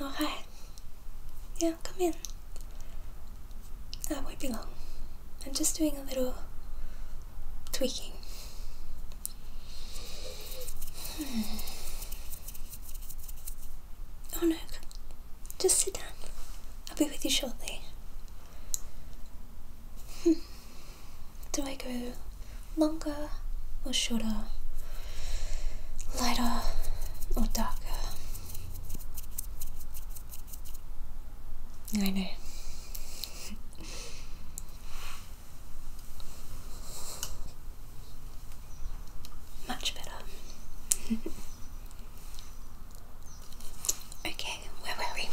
Oh, hi. Yeah, come in. I won't be long. I'm just doing a little tweaking. Hmm. Oh no, just sit down. I'll be with you shortly. Hmm. Do I go longer or shorter? Lighter or darker? I know. Much better. okay, where were we?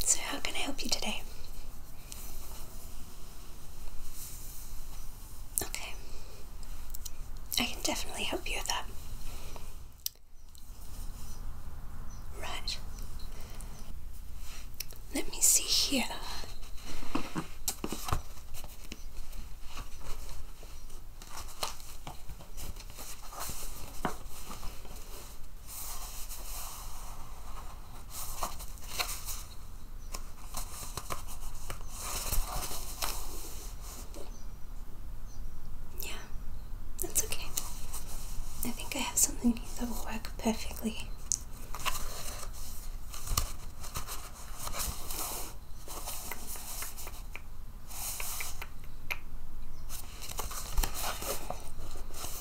So, how can I help you today? Okay. I can definitely help you with that. Right. Let me see here. Yeah, that's okay. I think I have something that will work perfectly.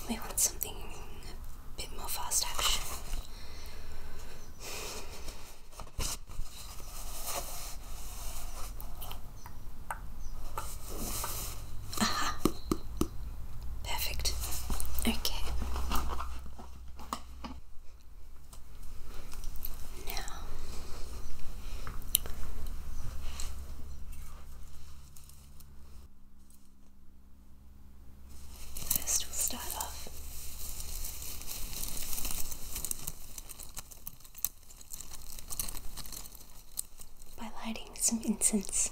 We want something a bit more fast action. Aha! Perfect. Okay. Now, First, we'll start off by lighting some incense.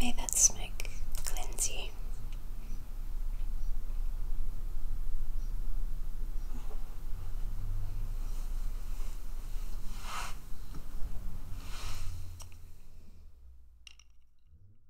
May that smoke cleanse you.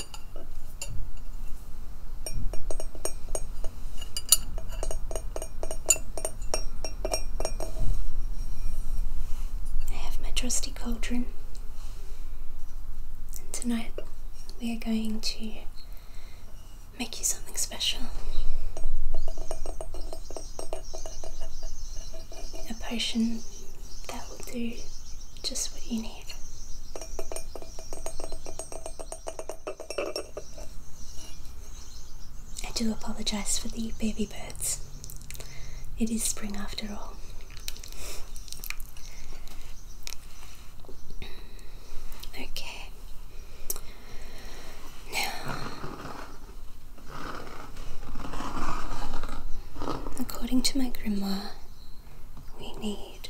I have my trusty cauldron, and tonight we are going to make you something special a potion that will do just what you need. I do apologize for the baby birds. It is spring after all. Okay. Now, according to my grandma, we need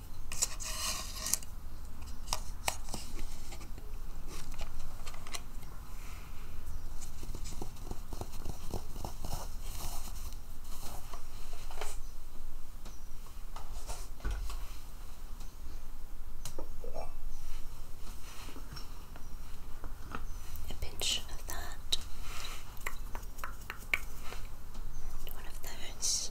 A pinch of that, one of those.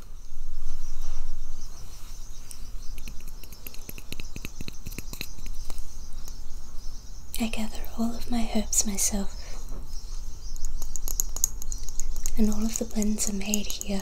I gather all of my herbs myself, and all of the blends are made here.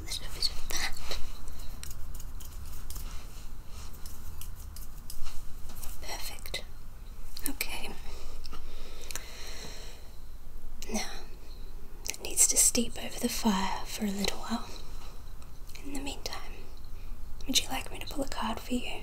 There's no vision of that. Perfect. Okay. Now, it needs to steep over the fire for a little while. In the meantime, would you like me to pull a card for you?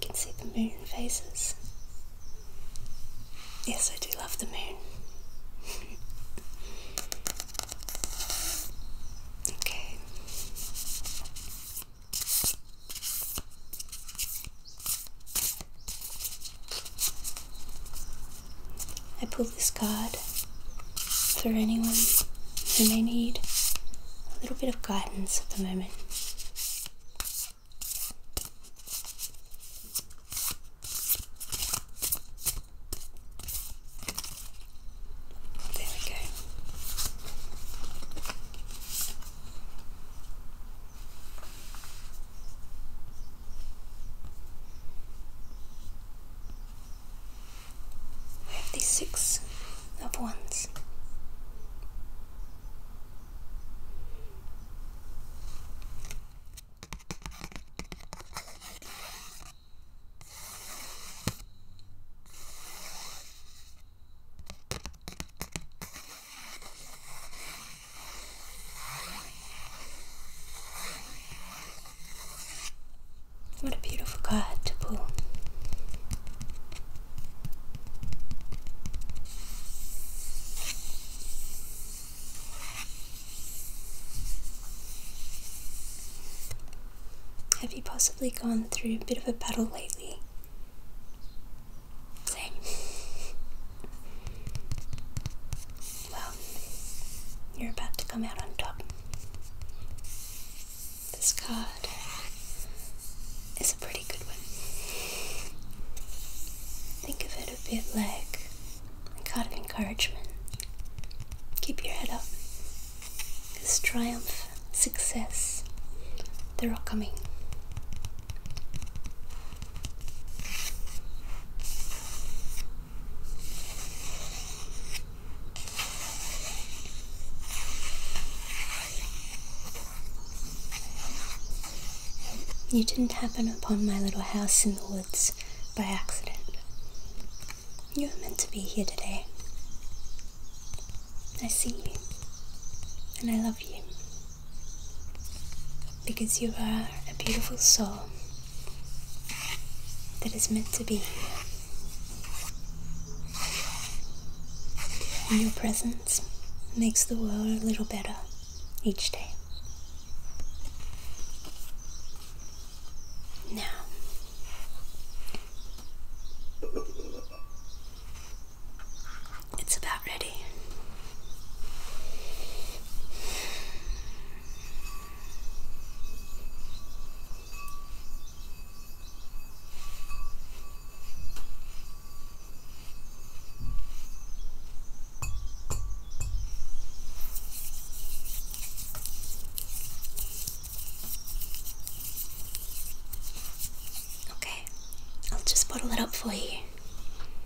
can see the moon phases. Yes, I do love the moon. okay. I pull this card for anyone who may need a little bit of guidance at the moment. There we go have these six of ones. What a beautiful card to pull. Have you possibly gone through a bit of a battle lately? Same. Well, you're about to come out on top. This card is a pretty good one. Think of it a bit like a card of encouragement. Keep your head up. Because triumph, success, they're all coming. You didn't happen upon my little house in the woods by accident. You were meant to be here today. I see you, and I love you because you are a beautiful soul that is meant to be And your presence makes the world a little better each day. Now, it's about ready. Okay, I'll just bottle it up for you.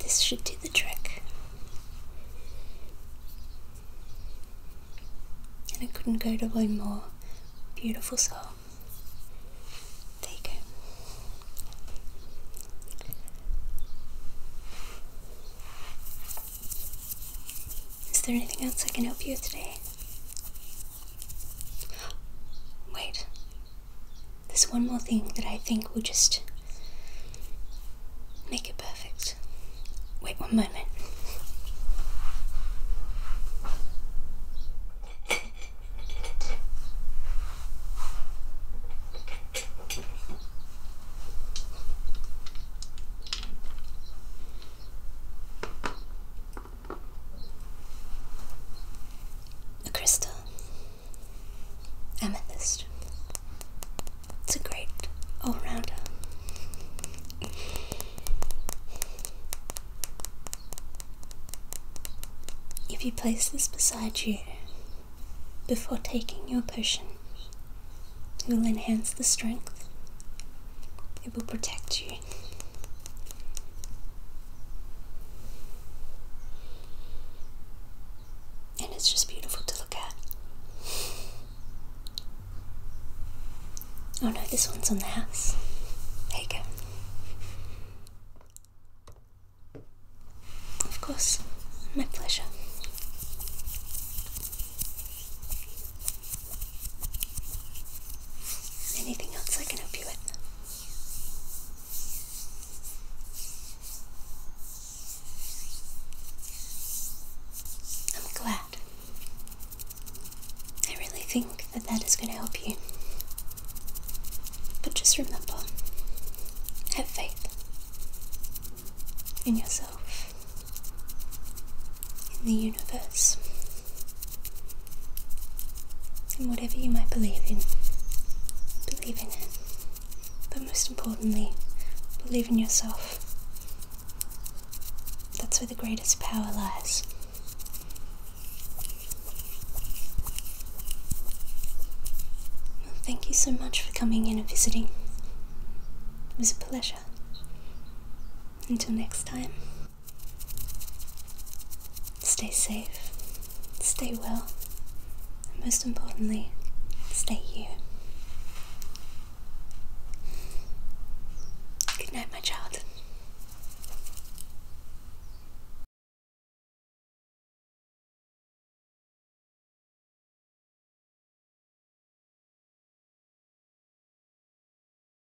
This should do the trick. And I couldn't go to one more beautiful soul. There you go. Is there anything else I can help you with today? Wait. There's one more thing that I think will just make it perfect. Wait one moment. A crystal. Amethyst. It's a great all rounder. If you place this beside you before taking your potion, it will enhance the strength, it will protect you, and it's just beautiful to look at. Oh no, this one's on the house. There you go. Of course, my pleasure. Anything else I can help you with? I'm glad. I really think that that is going to help you. But just remember have faith in yourself, in the universe, in whatever you might believe in, believe in it. But most importantly, believe in yourself. That's where the greatest power lies. Well, thank you so much for coming in and visiting. It was a pleasure. Until next time. Stay safe, stay well, and most importantly, stay you. Good night, my child.